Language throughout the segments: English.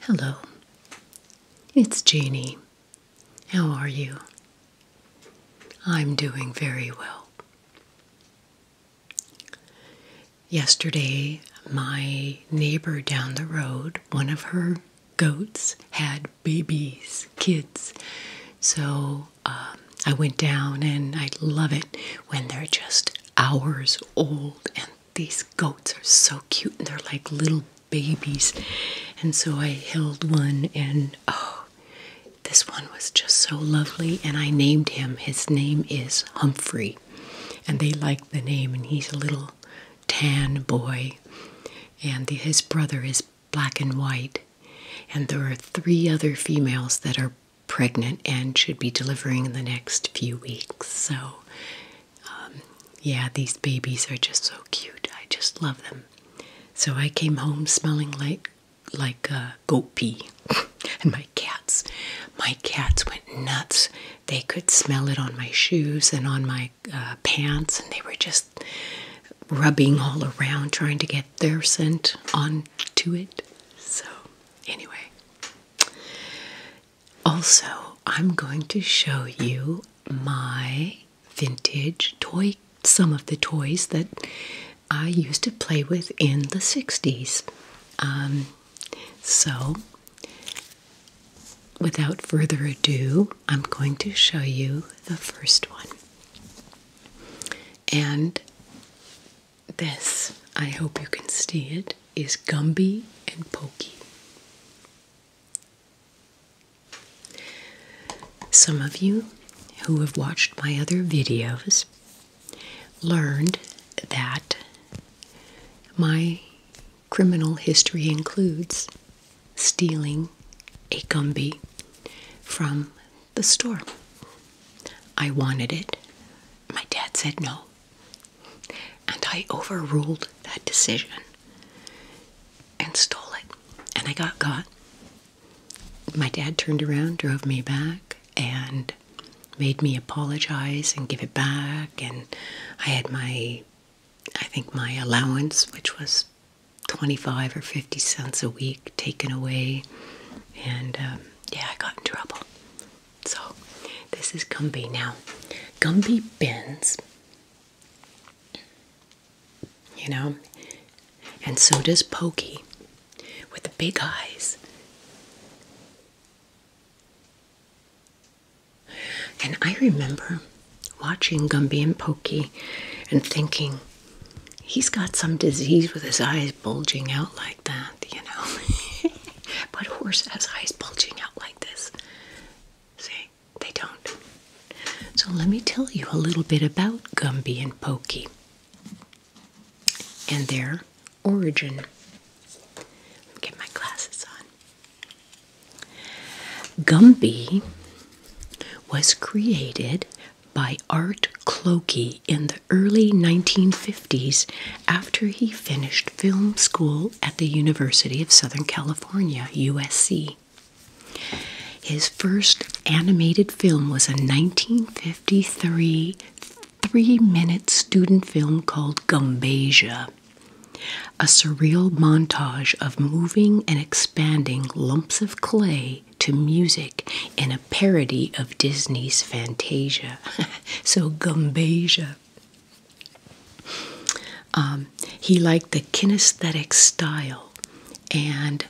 Hello, it's Jeannie. How are you? I'm doing very well. Yesterday, my neighbor down the road, one of her goats had babies, kids. So um, I went down and I love it when they're just hours old and these goats are so cute and they're like little babies. And so I held one and oh, this one was just so lovely and I named him. His name is Humphrey and they like the name and he's a little tan boy, and his brother is black and white. And there are three other females that are pregnant and should be delivering in the next few weeks. So, um, yeah, these babies are just so cute. I just love them. So I came home smelling like like uh, goat pee, and my cats, my cats went nuts. They could smell it on my shoes and on my uh, pants, and they were just rubbing all around trying to get their scent on to it. So, anyway. Also, I'm going to show you my vintage toy, some of the toys that I used to play with in the 60s. Um, so, without further ado, I'm going to show you the first one. And this, I hope you can see it, is Gumby and Pokey. Some of you who have watched my other videos learned that my criminal history includes stealing a Gumby from the store. I wanted it. My dad said no. And I overruled that decision and stole it. And I got caught. My dad turned around, drove me back, and made me apologize and give it back. And I had my I think my allowance, which was 25 or 50 cents a week, taken away. And um, yeah, I got in trouble. So this is Gumby now. Gumby bends, you know, and so does Pokey with the big eyes. And I remember watching Gumby and Pokey and thinking, he's got some disease with his eyes bulging out like that, you know. but a horse has eyes bulging out like this. See, they don't. So let me tell you a little bit about Gumby and Pokey and their origin. get my glasses on. Gumby was created by Art Clokey in the early 1950s after he finished film school at the University of Southern California, USC. His first animated film was a 1953 three minute student film called Gumbasia. A surreal montage of moving and expanding lumps of clay to music in a parody of Disney's Fantasia. so, Gumbasia. he liked the kinesthetic style, and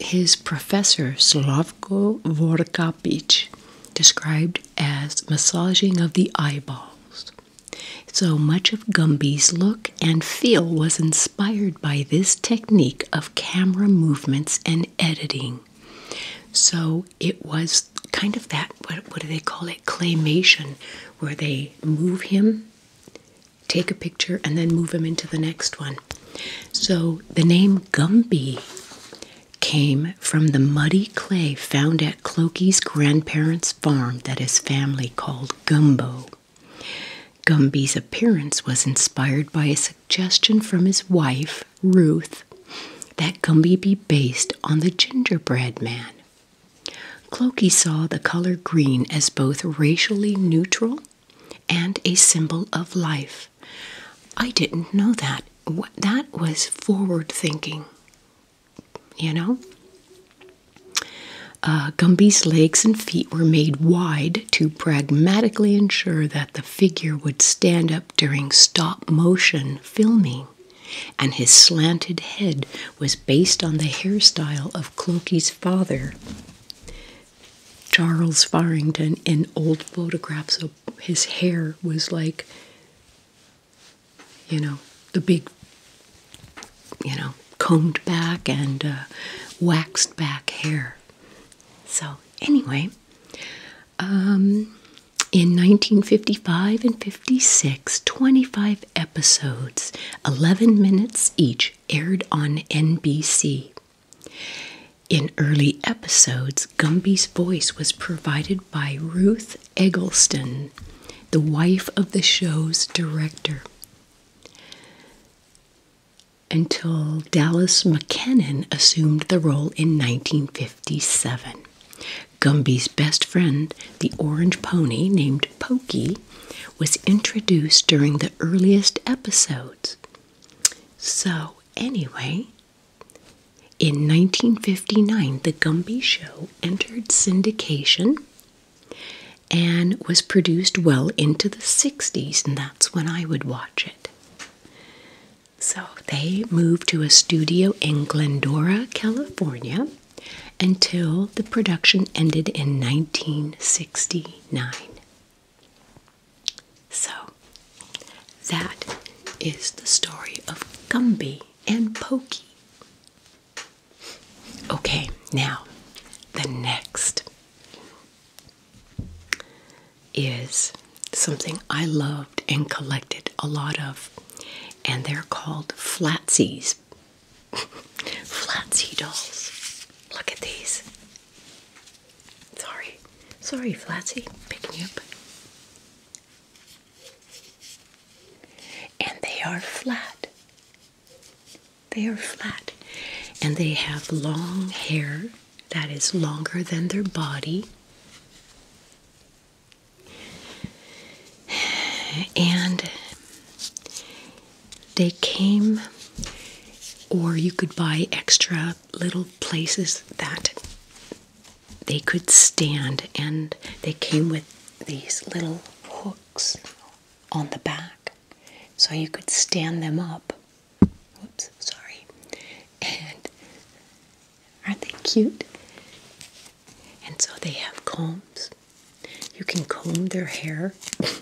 his professor Slavko Vorkapich described as massaging of the eyeballs. So much of Gumby's look and feel was inspired by this technique of camera movements and editing. So it was kind of that, what, do they call it? Claymation, where they move him, take a picture, and then move him into the next one. So the name Gumby came from the muddy clay found at Clokey's grandparents' farm that his family called Gumbo. Gumby's appearance was inspired by a suggestion from his wife, Ruth, that Gumby be based on the gingerbread man. Clokey saw the color green as both racially neutral and a symbol of life. I didn't know that. That was forward thinking you know? Uh, Gumby's legs and feet were made wide to pragmatically ensure that the figure would stand up during stop motion filming, and his slanted head was based on the hairstyle of Clokey's father, Charles Farrington, in old photographs. So his hair was like you know, the big, you know, combed back and uh, waxed back hair. So, anyway, um, in 1955 and 56, 25 episodes, 11 minutes each, aired on NBC. In early episodes, Gumby's voice was provided by Ruth Eggleston, the wife of the show's director. Until Dallas McKennon assumed the role in 1957. Gumby's best friend, the orange pony named Pokey, was introduced during the earliest episodes. So, anyway, in 1959, The Gumby Show entered syndication and was produced well into the 60s, and that's when I would watch it. So they moved to a studio in Glendora, California, until the production ended in 1969. So that is the story of Gumby and pokey. Okay, now the next is something I loved and collected a lot of, and they're called flatsies. Flatsy dolls. Look at these. Sorry, sorry, Flatsy, Pick me up. And they are flat. They are flat. And they have long hair that is longer than their body. And they came, or you could buy extra little places that they could stand, and they came with these little hooks on the back, so you could stand them up. Oops, sorry. And aren't they cute? And so they have combs. You can comb their hair.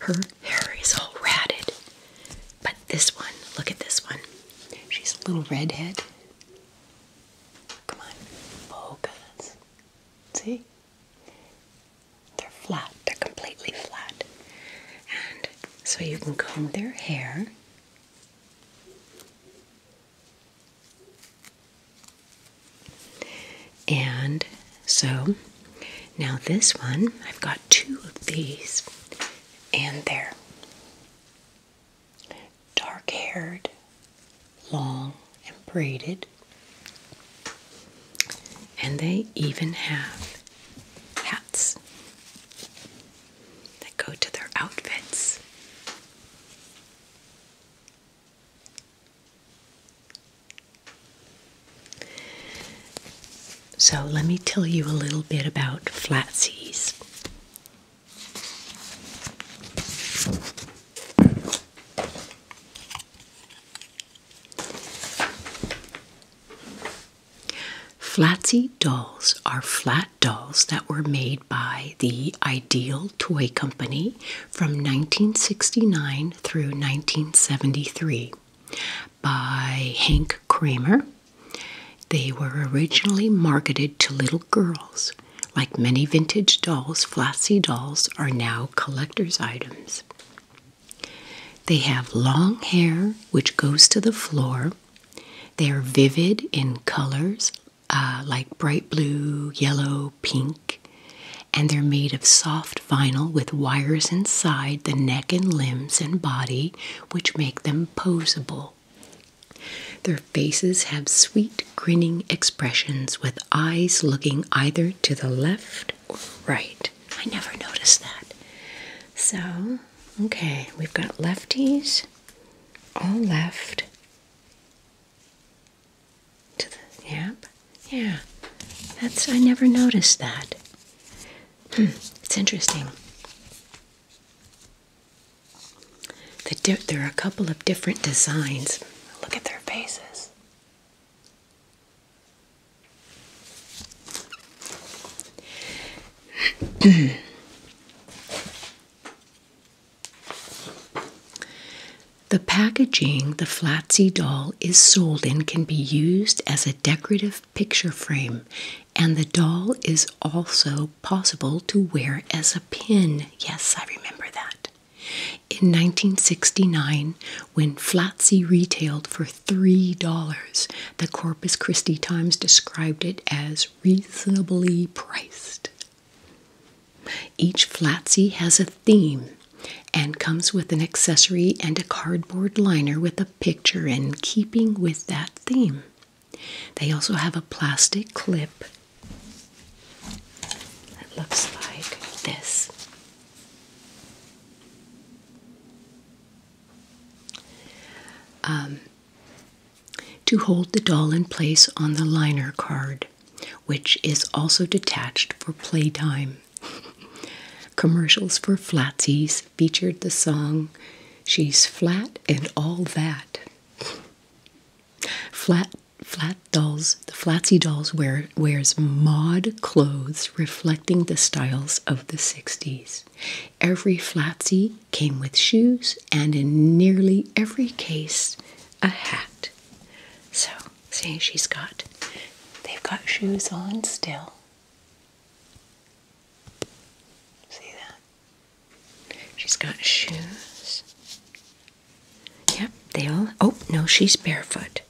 Her hair is all ratted. But this one, look at this one. She's a little redhead. Come on, focus. See? They're flat, they're completely flat. And so you can comb their hair. And so now this one, I've got two of these, and there dark haired, long and braided, and they even have hats that go to their outfits. So, let me tell you a little bit about flatsies. Flatsy dolls are flat dolls that were made by the Ideal Toy Company from 1969 through 1973 by Hank Kramer they were originally marketed to little girls. Like many vintage dolls, Flossy dolls are now collector's items. They have long hair, which goes to the floor. They are vivid in colors uh, like bright blue, yellow, pink, and they're made of soft vinyl with wires inside the neck and limbs and body, which make them posable. Their faces have sweet, grinning expressions with eyes looking either to the left or right. I never noticed that. So, okay, we've got lefties, all left. To the yep, yeah. That's I never noticed that. Hmm, it's interesting there are a couple of different designs. Look at their faces. the packaging the Flatsy doll is sold in can be used as a decorative picture frame and the doll is also possible to wear as a pin. Yes, I remember that. In 1969, when Flatsy retailed for $3, the Corpus Christi Times described it as reasonably priced. Each Flatsy has a theme and comes with an accessory and a cardboard liner with a picture in keeping with that theme. They also have a plastic clip that looks like this. Um, to hold the doll in place on the liner card, which is also detached for playtime. Commercials for Flatsies featured the song She's Flat and All That. Flat flat dolls, the Flatsy dolls wear wears mod clothes reflecting the styles of the 60s. Every Flatsy came with shoes and in nearly every case a hat. So, see she's got they've got shoes on still. See that? She's got shoes. Yep, they all. Oh, no, she's barefoot.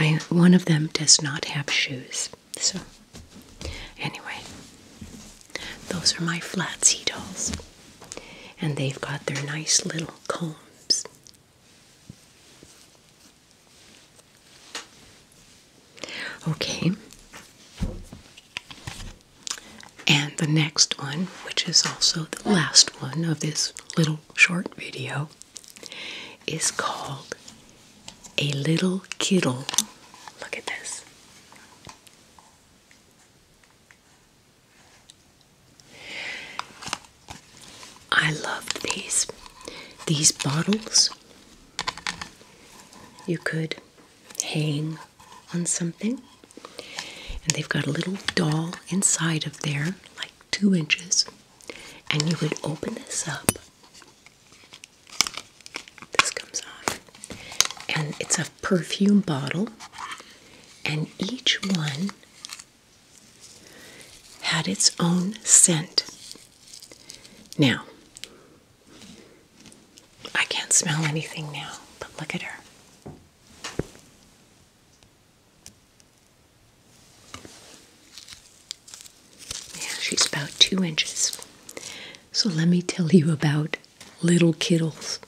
I one of them does not have shoes. So anyway, those are my flat sea dolls. And they've got their nice little combs. Okay. And the next one, which is also the last one of this little short video, is called A Little Kittle. Look at this. I loved these. These bottles you could hang on something. And they've got a little doll inside of there, like two inches. And you would open this up. This comes off. And it's a perfume bottle. And each one had its own scent. Now, I can't smell anything now, but look at her. Yeah, she's about two inches. So let me tell you about little kittles.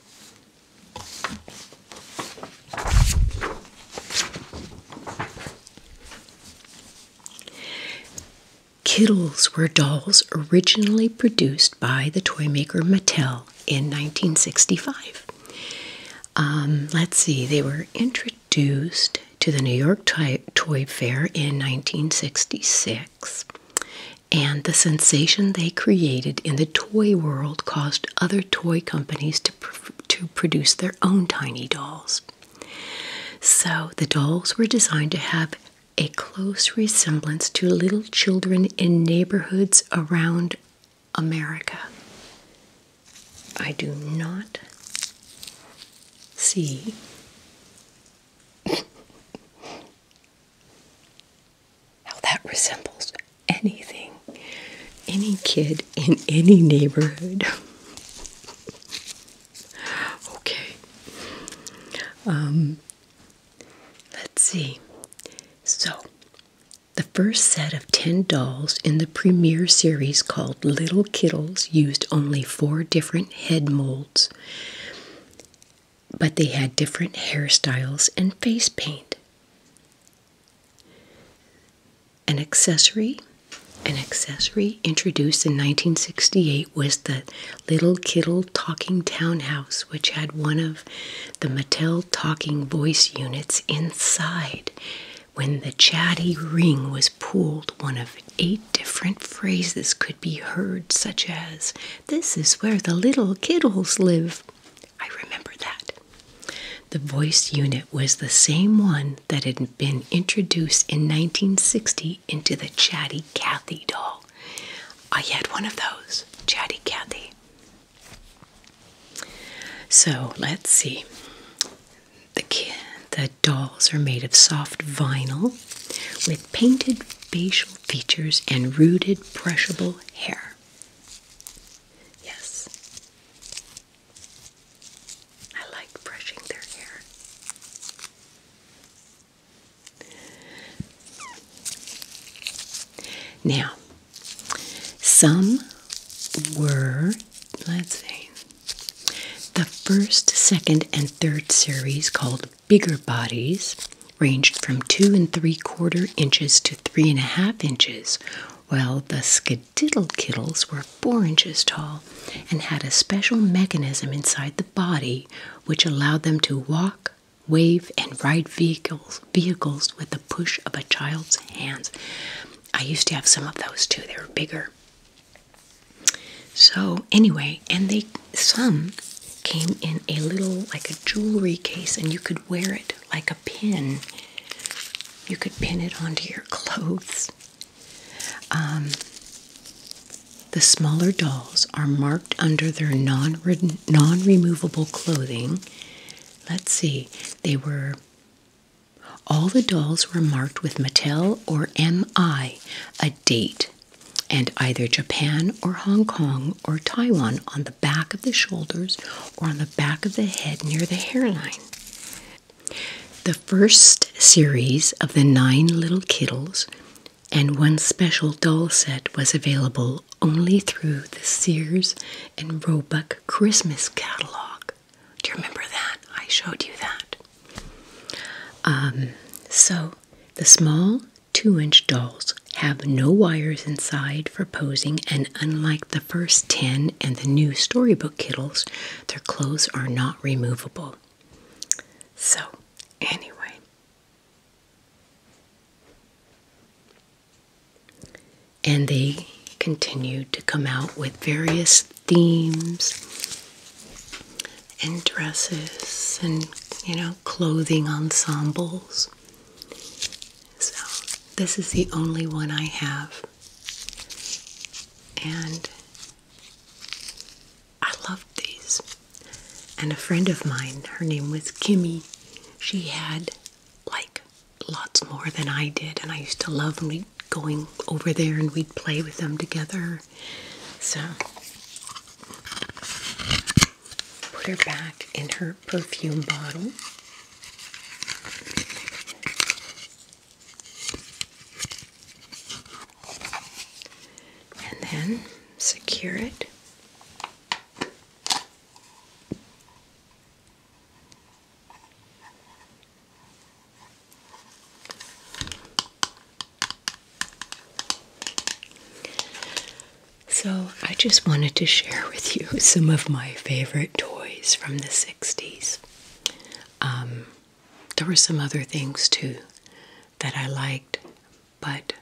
Kittles were dolls originally produced by the toy maker Mattel in 1965. Um, let's see, they were introduced to the New York Toy, Fair in 1966. And the sensation they created in the toy world caused other toy companies to, to produce their own tiny dolls. So the dolls were designed to have a close resemblance to little children in neighborhoods around America. I do not see how that resembles anything, any kid in any neighborhood. Okay. Um, let's see. So, the first set of 10 dolls in the premiere series called Little Kittles used only four different head molds, but they had different hairstyles and face paint. An accessory, an accessory introduced in 1968 was the Little Kittle Talking Townhouse, which had one of the Mattel talking voice units inside. When the chatty ring was pulled, one of eight different phrases could be heard, such as, This is where the little kittles live. I remember that. The voice unit was the same one that had been introduced in 1960 into the Chatty Cathy doll. I had one of those, Chatty Cathy. So let's see. The, the dolls are made of soft vinyl with painted facial features and rooted, brushable hair. Yes. I like brushing their hair. Now, some were, let's see, the first, second, and third series called Bigger Bodies ranged from two and three quarter inches to three and a half inches, while the skid diddle kiddles were four inches tall and had a special mechanism inside the body which allowed them to walk, wave, and ride vehicles with the push of a child's hands. I used to have some of those too. They were bigger. So anyway, and they some came in a little like a jewelry case and you could wear it like a pin. You could pin it onto your clothes. Um, the smaller dolls are marked under their non non removable clothing. Let's see, they were. All the dolls were marked with Mattel or MI, a date, and either Japan or Hong Kong or Taiwan on the back of the shoulders or on the back of the head near the hairline. The first series of the Nine Little Kittles and one special doll set was available only through the Sears and Roebuck Christmas catalog. Do you remember that? I showed you that. Um, so, the small two inch dolls have no wires inside for posing, and unlike the first 10 and the new storybook kittles, their clothes are not removable. So, anyway. And they continued to come out with various themes and dresses and, you know, clothing ensembles. So, this is the only one I have. And I loved these. And a friend of mine, her name was Kimmy, she had like lots more than I did. And I used to love when going over there and we'd play with them together. So put her back in her perfume bottle and then secure it. So, I just wanted to share with you some of my favorite toys from the 60s. Um, there were some other things too that I liked, but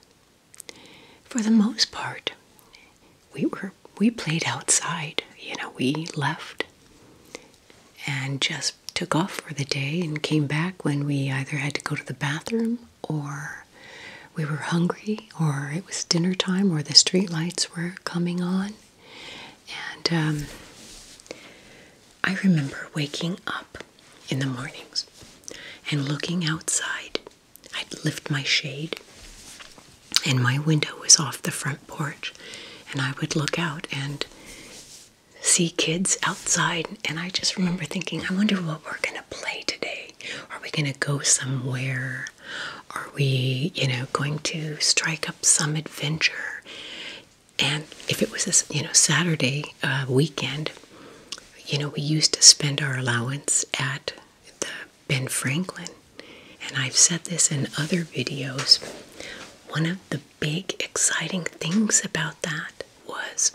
for the most part, we were we played outside. You know, we left and just took off for the day and came back when we either had to go to the bathroom or we were hungry or it was dinner time or the street lights were coming on and um, I remember waking up in the mornings and looking outside. I'd lift my shade, and my window was off the front porch, and I would look out and see kids outside. And I just remember thinking, I wonder what we're going to play today. Are we going to go somewhere? Are we, you know, going to strike up some adventure? And if it was a, you know, Saturday uh, weekend, you know, we used to spend our allowance at the Ben Franklin. And I've said this in other videos. One of the big exciting things about that was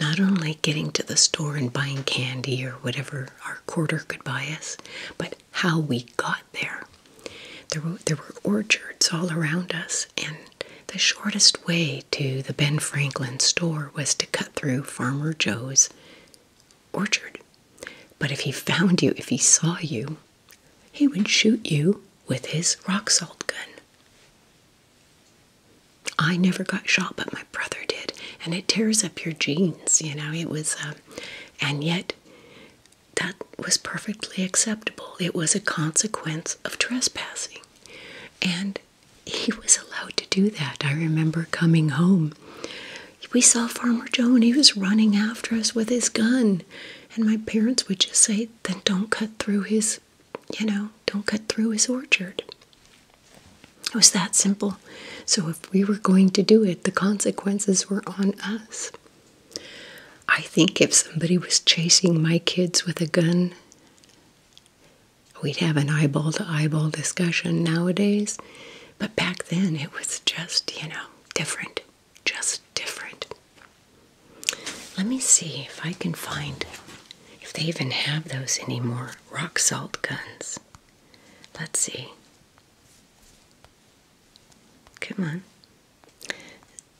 not only getting to the store and buying candy or whatever our quarter could buy us, but how we got there. There were, there were orchards all around us, and the shortest way to the Ben Franklin store was to cut through Farmer Joe's orchard. But if he found you, if he saw you, he would shoot you with his rock salt gun. I never got shot, but my brother did, and it tears up your jeans, you know. It was, um, and yet that was perfectly acceptable. It was a consequence of trespassing. And he was allowed to do that. I remember coming home. We saw Farmer Joe and he was running after us with his gun. And my parents would just say, then don't cut through his, you know, don't cut through his orchard. It was that simple. So if we were going to do it, the consequences were on us. I think if somebody was chasing my kids with a gun, we'd have an eyeball to eyeball discussion nowadays. But back then, it was just, you know, different. Just different. Let me see if I can find if they even have those anymore rock salt guns. Let's see. Come on.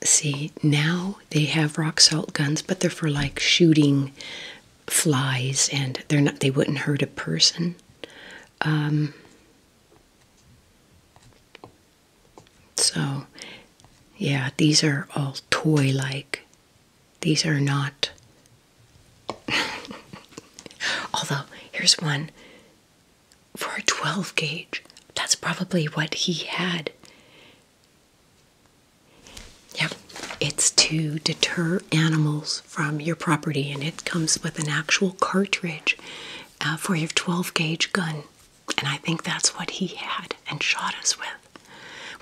See, now they have rock salt guns, but they're for like shooting flies and they're not they wouldn't hurt a person. Um so yeah, these are all toy like. These are not Although here's one for a 12 gauge. That's probably what he had. Yep, it's to deter animals from your property, and it comes with an actual cartridge uh, for your 12 gauge gun. And I think that's what he had and shot us with.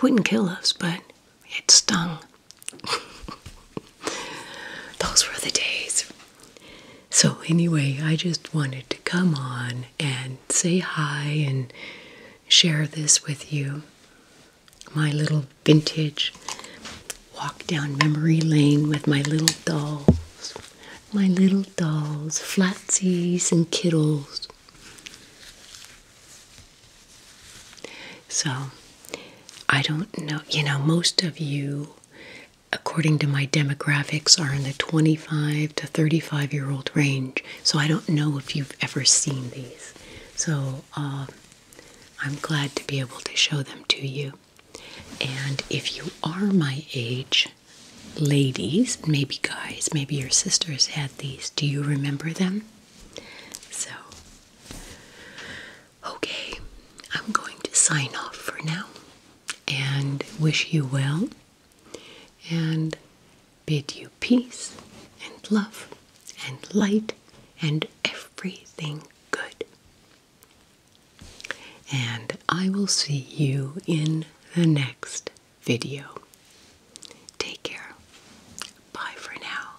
Wouldn't kill us, but it stung. Those were the days. So, anyway, I just wanted to come on and say hi and share this with you. My little vintage walk down memory lane with my little dolls, my little dolls, flatsies, and kiddles. So, I don't know, you know, most of you according to my demographics, are in the 25 to 35 year old range. So I don't know if you've ever seen these. So um, I'm glad to be able to show them to you. And if you are my age, ladies, maybe guys, maybe your sisters had these. Do you remember them? So Okay, I'm going to sign off for now and wish you well and bid you peace and love and light and everything good. And I will see you in the next video. Take care. Bye for now.